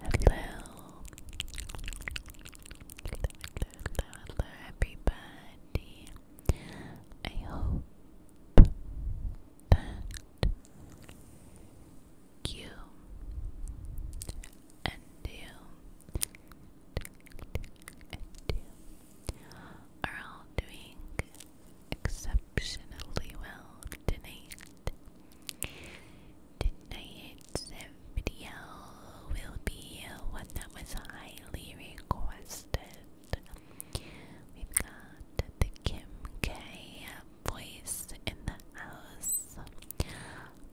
hello, hello, everybody. I hope that you and you are all doing exceptionally exceptionally well tonight. Tonight's video will be one that was highly requested. We've got the Kim K voice in the house.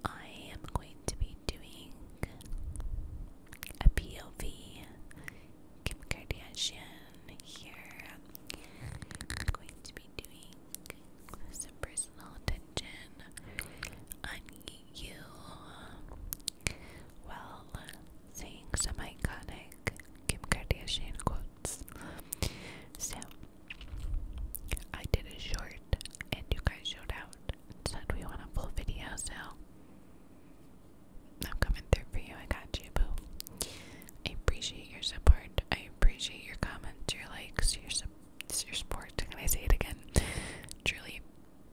I am going to be doing a POV Kim Kardashian here. I'm going to be doing some personal attention on you while saying some iconic Kim Kardashian quotes. So, I did a short and you guys showed out and we want a full video, so I'm coming through for you. I got you, boo. I appreciate your support. I appreciate your comments, your likes, your support. Your support. Can I say it again? Truly,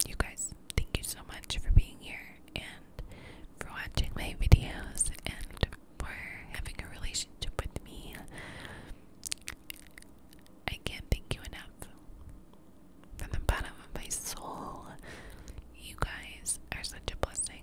you guys, thank you so much for being here and for watching my videos and for having a relationship with me. I can't thank you enough. From the bottom of my soul, you guys are such a blessing.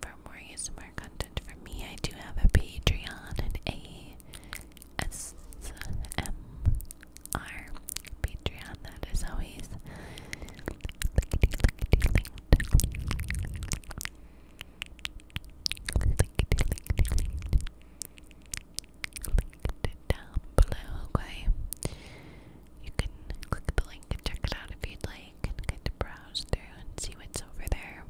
for more ASMR content for me, I do have a Patreon and a S M R Patreon that is always linked. down below, okay? You can click the link and check it out if you'd like get to browse through and see what's over there.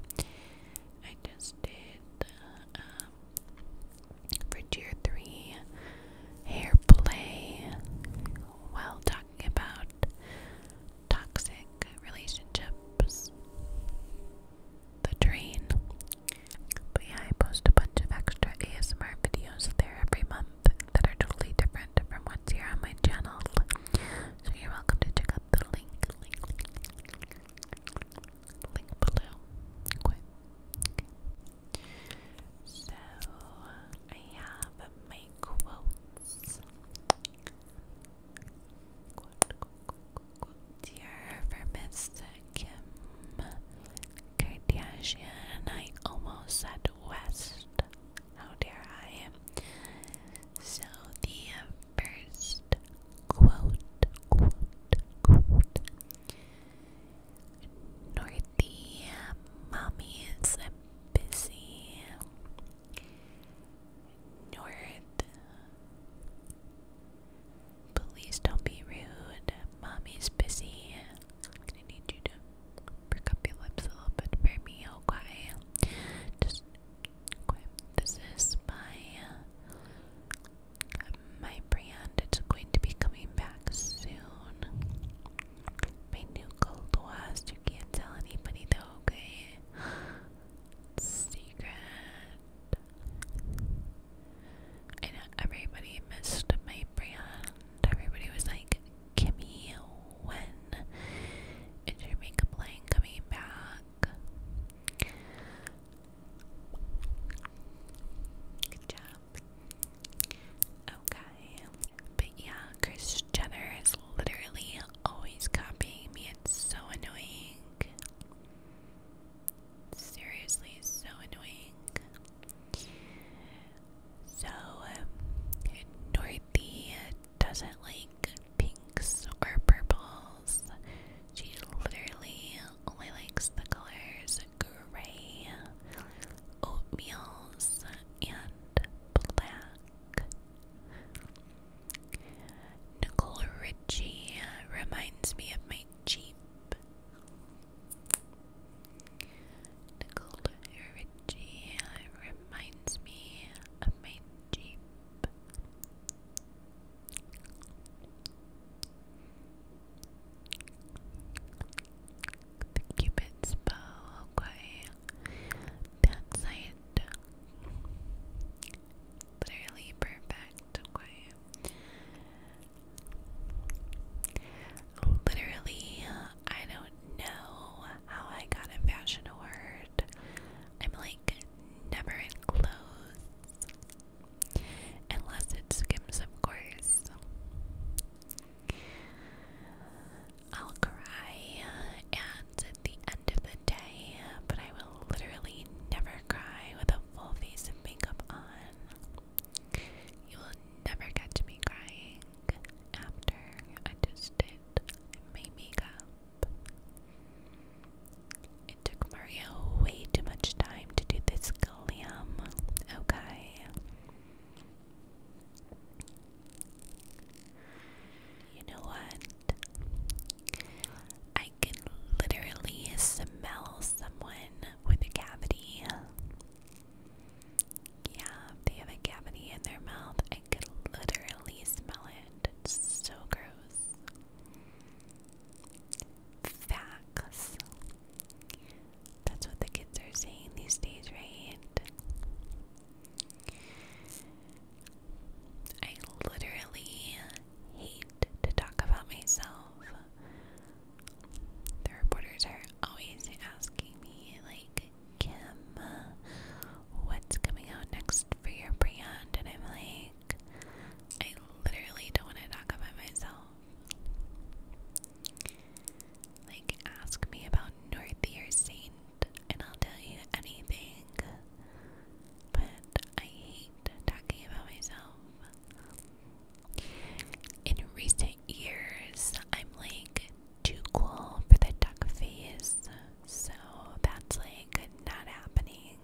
I just did um, for tier three hair play while talking about toxic relationships, the drain. But yeah, I post a bunch of extra ASMR videos there every month that are totally different from what's here on my channel. So you're welcome to check out the link, link, link, link below. So I have my quotes. Quote, quote, Kim Kardashian. I almost said West. How dare I? So, the uh, first quote, quote, Mommy is busy. North. Please don't be rude. Mommy's busy. I'm gonna need you to perk up your lips a little bit for me, okay? Just this is my uh, my brand. It's going to be coming back soon. My new gold was. You can't tell anybody though. Okay, secret. I everybody missed my brand. Everybody was like, "Kimmy, when is your makeup line coming back? Good job. Okay. But yeah, Chris Jenner is literally always copying me. It's so annoying. Seriously, so annoying. So, um, doesn't like pinks or purples. She literally only likes the colors gray, oatmeals, and black. Nicole Richie reminds me of my Jeep. Nicole Richie reminds me of my Jeep. The Cupid's bow, okay. That's it. Clearly perfect, okay. Literally, I don't know how I got a fashion award. I'm like never in clothes. Unless it's Skims, of course. I'll cry and at the end of the day, but I will literally never cry with a full face of makeup on. You will never catch me crying after I just did my makeup. It took Maria way too much time to do this glam, okay? You know what? I can literally smell someone with a cavity. Yeah, they have a cavity in their mouth, I could literally smell it. It's so gross. Facts. That's what the kids are saying these days, right? I literally hate to talk about myself. The reporters are always asking me, like, Kim, what's coming out next for your brand? And I'm like, I literally don't want to talk about myself. Like, ask me about Northier Saint, and I'll tell you anything. But I hate talking about myself. In recent my I'm like too cool for the duck face, so that's like not happening.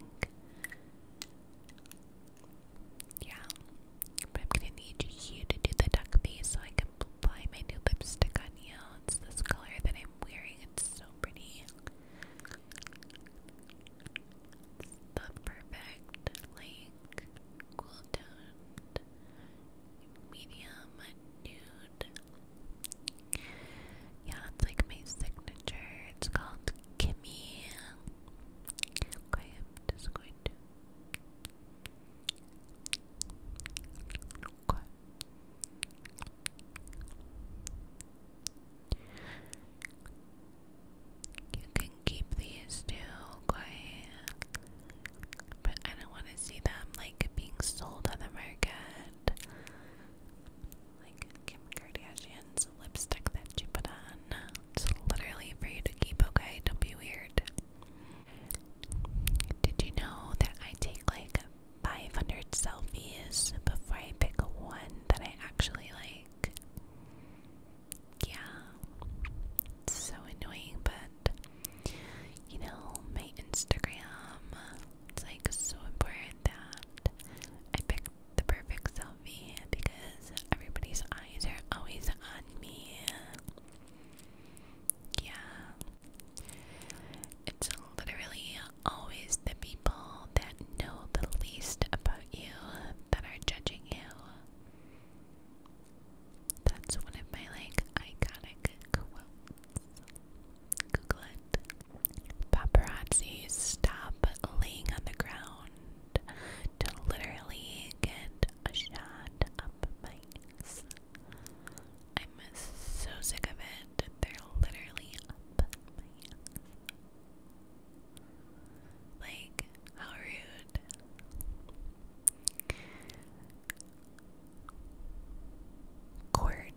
Yeah, but i need you to do the duck face so I can apply my new lipstick on you. It's this color that I'm wearing, it's so pretty. the perfect, like, cool toned medium nude. Yeah, that's like my signature. It's called Kimmy. Okay, I'm just going to. You can keep these two, okay? But I don't want to see them like being sold on the market. Like Kim Kardashian's lipstick that you put on. It's literally for you to keep, okay? Don't be weird. Did you know that I take like 500 selfies before I pick one that I actually like? Yeah. It's so annoying, but you know, my Instagram, it's like so important that I picked the perfect selfie because everybody's eyes are always on me. Yeah. It's literally always the people that know the least about you that are judging you. That's one of my like iconic quotes. Paparazzi stop laying on the ground to literally get a shot up my I'm so sick of it. They're literally up Like, how rude. Court.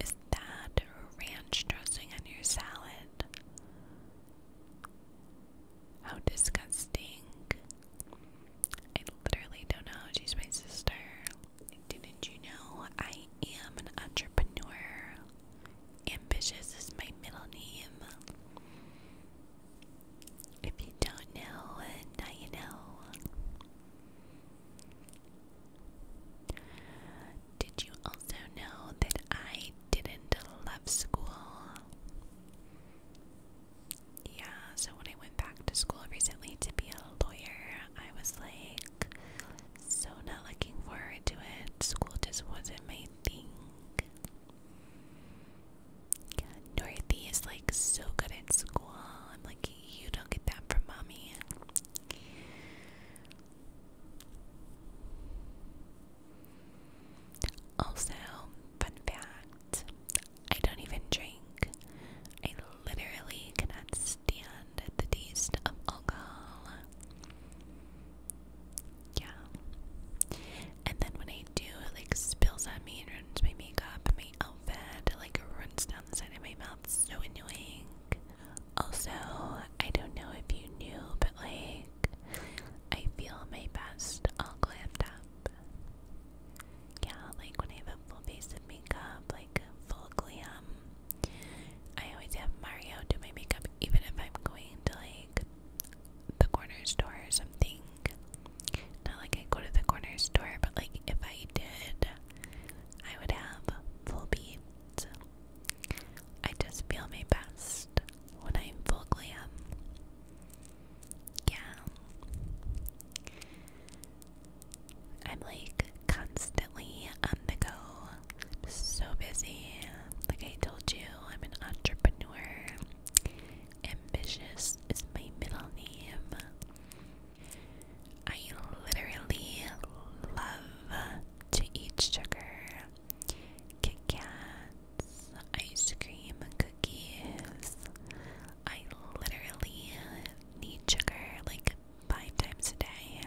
Is that ranch dressing on your salad? How disgusting. I literally don't know she's my sister. Didn't you know I am an entrepreneur? Ambitious is my middle name. If you don't know, uh, now you know. Did you also know that I didn't love school? Yeah, so when I went back to school recently to be a lawyer, I was like so not looking forward to it. School just wasn't my thing. Dorothy is like so good at school. I'm like, you don't get that from mommy. Also, fun fact I don't even drink. I literally cannot stand the taste of alcohol yeah. And then when I do, it like spills on me and ruins my makeup and my outfit. It like runs down the side of my mouth. so annoying. Also, I don't know if you knew, but like, I feel my best all glammed up. Yeah, like when I have a full face of makeup, like full glam. I always have Mario do my makeup, even if I'm going to like the corner store or something. Not like I go to the corner store, but like if I did, I would have full beads. I just feel my best when I'm full glam. Yeah. I'm like constantly on the go. So busy. Like I told you, I'm an entrepreneur. Ambitious is my middle name. I literally love to eat sugar, Kit Kats, ice cream, cookies. I literally need sugar like five times a day,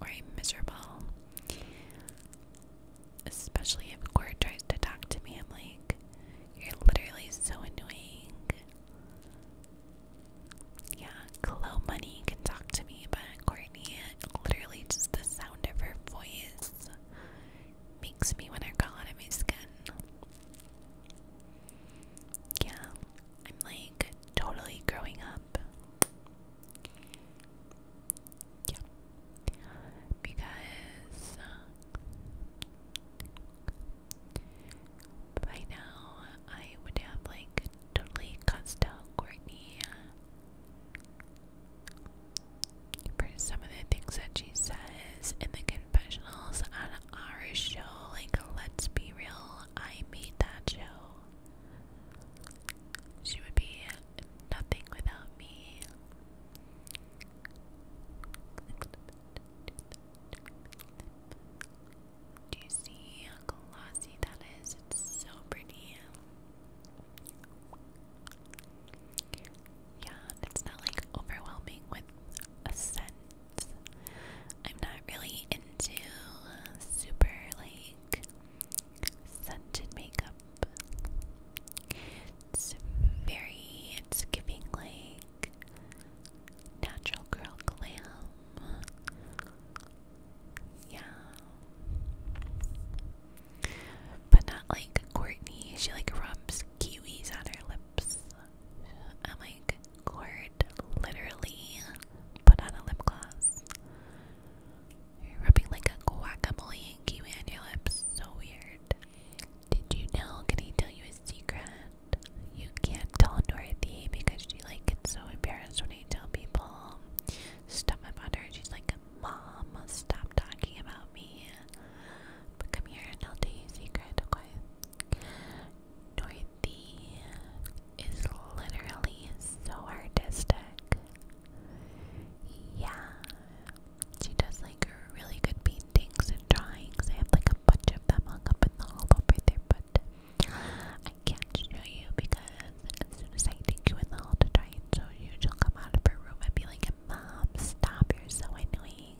or I'm miserable. Especially if Cord tries to talk to me, I'm like, you're literally so annoying. Yeah, Clo Money can talk to me, but Courtney, literally just the sound of her voice makes me want to crawl out of my skin. Yeah, I'm like totally growing up. Yeah. Because by um, now I would have like totally cussed out Courtney for some of the things that she says in the confessionals on our show. Like, let's be real, I made that show. She would be nothing without me. Do you see how glossy that is? It's so pretty. Yeah, it's not like overwhelming with a scent. I'm not really into super like Scented makeup. It's very, it's giving like natural girl glam. Yeah. But not like Courtney. She like rubs kiwis on her lips. I'm like, Court literally put on a lip gloss. You're rubbing like a quack and kiwi on your lips. So weird. Did you know? Can I tell you a secret? You can't tell Dorothy because she like gets so embarrassed when you tell people stuff about her. She's like, Mom, stop talking about me. come here and I'll tell you a secret, okay? Dorothy is literally so artistic. Yeah. She does like her really good paintings and drawings. I have like a bunch of them hung up in the hall over there, but I can't show you because as soon as I take you in the hall to try and show you, she'll come out of her room and be like, Mom, stop, you're so annoying.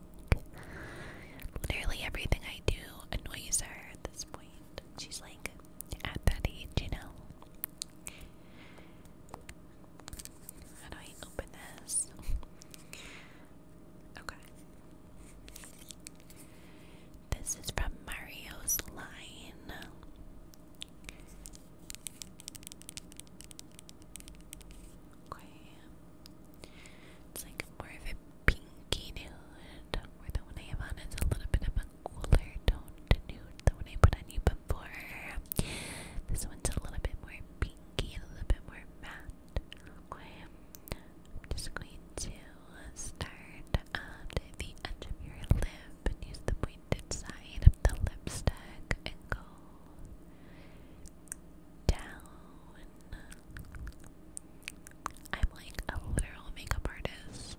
Literally everything I do annoys her at this point. She's like at that age, you know. How do I open this? okay. This is from Mario's line. Okay. It's like more of a pinky nude, where the one I have on is a little bit of a cooler tone to the one I put on you before. This one's a little bit more pinky, a little bit more matte. I'm just going to start at the edge of your lip and use the pointed side of the lipstick and go down. I'm like a literal makeup artist.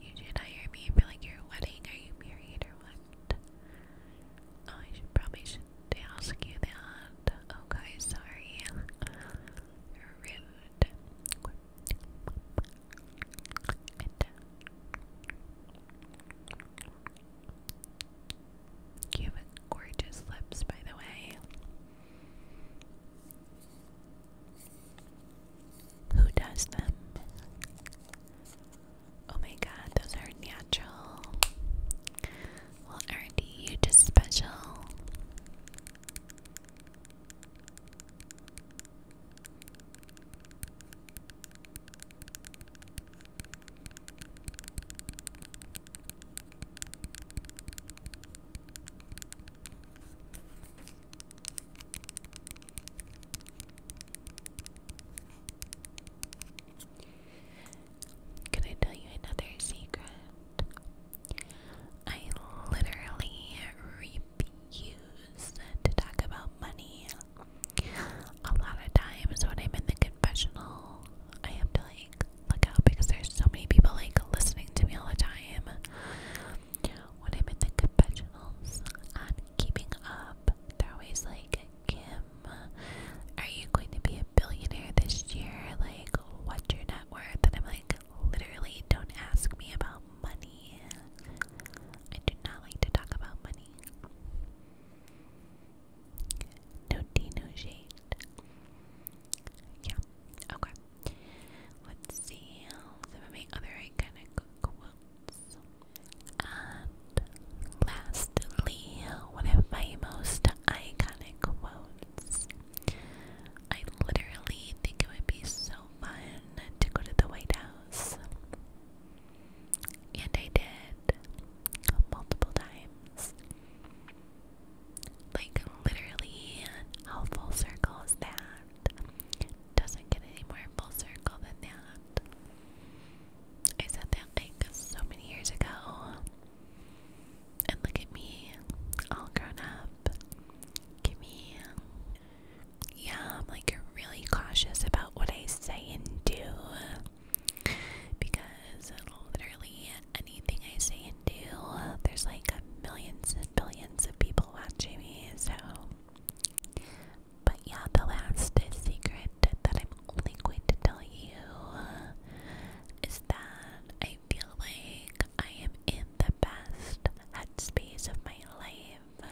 You not hear me for like your wedding. Are you married or what? Oh, I should probably should ask you that. Okay, oh, sorry. are rude. And, uh, you have gorgeous lips, by the way. Who does them? Oh my god, those are natural. Well, aren't you just special? Can I tell you another secret? I literally refuse to talk about money. A lot of times when I'm in the confessional, I have like look out because there's so many people like listening to me all the time. When I'm in the confessionals on keeping up, they're always like, Kim, are you going to be a billionaire this year? Like, what's your net worth? And I'm like, literally, don't ask me about money. I do not like to talk about money. No tea, no shade. Yeah, Okay. let some of my other iconic quotes. lastly, one of my most iconic quotes. I literally think it would be so fun to go to the White House. And I did multiple times. Like, literally, how full circle is that? Doesn't get any more full circle than that. I said that like so many years ago. And look at me, all grown up. Give me. Yeah, I'm like really cautious about what I say and do because literally anything I say and do, there's like millions and billions of people watching me, so. But yeah, the last secret that I'm only going to tell you is that I feel like I am in the best headspace of my life.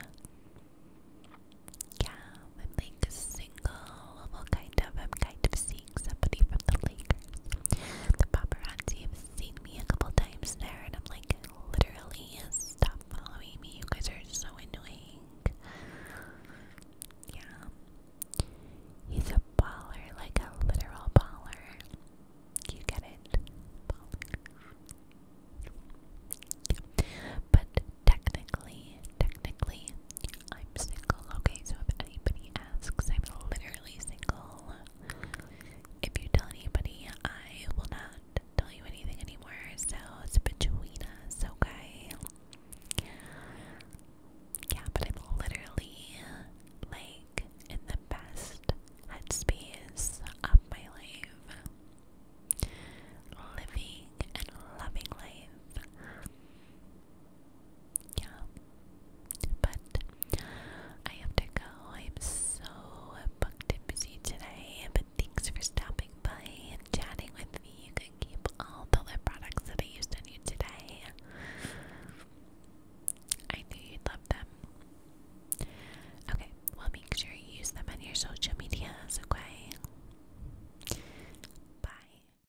Yeah, I'm like single, kind of. I'm kind of seeing somebody the Lakers. The paparazzi have seen me a couple times there, and I'm like, literally, stop following me. You guys are so annoying. Yeah. He's a baller, like a literal baller. You get it? But technically, technically, I'm single, okay? So if anybody asks, I'm literally single. If you tell anybody, I will not tell you anything anymore. So it's between us, okay? Yeah, but I'm literally like in the best headspace of my life. Living and loving life yeah. But I have to go. I'm so booked and busy today. But thanks for stopping by and chatting with me. You can keep all the lip products that I used on you today. I knew you'd love them. Okay, well, make sure you use them on your social medias, okay? Bye.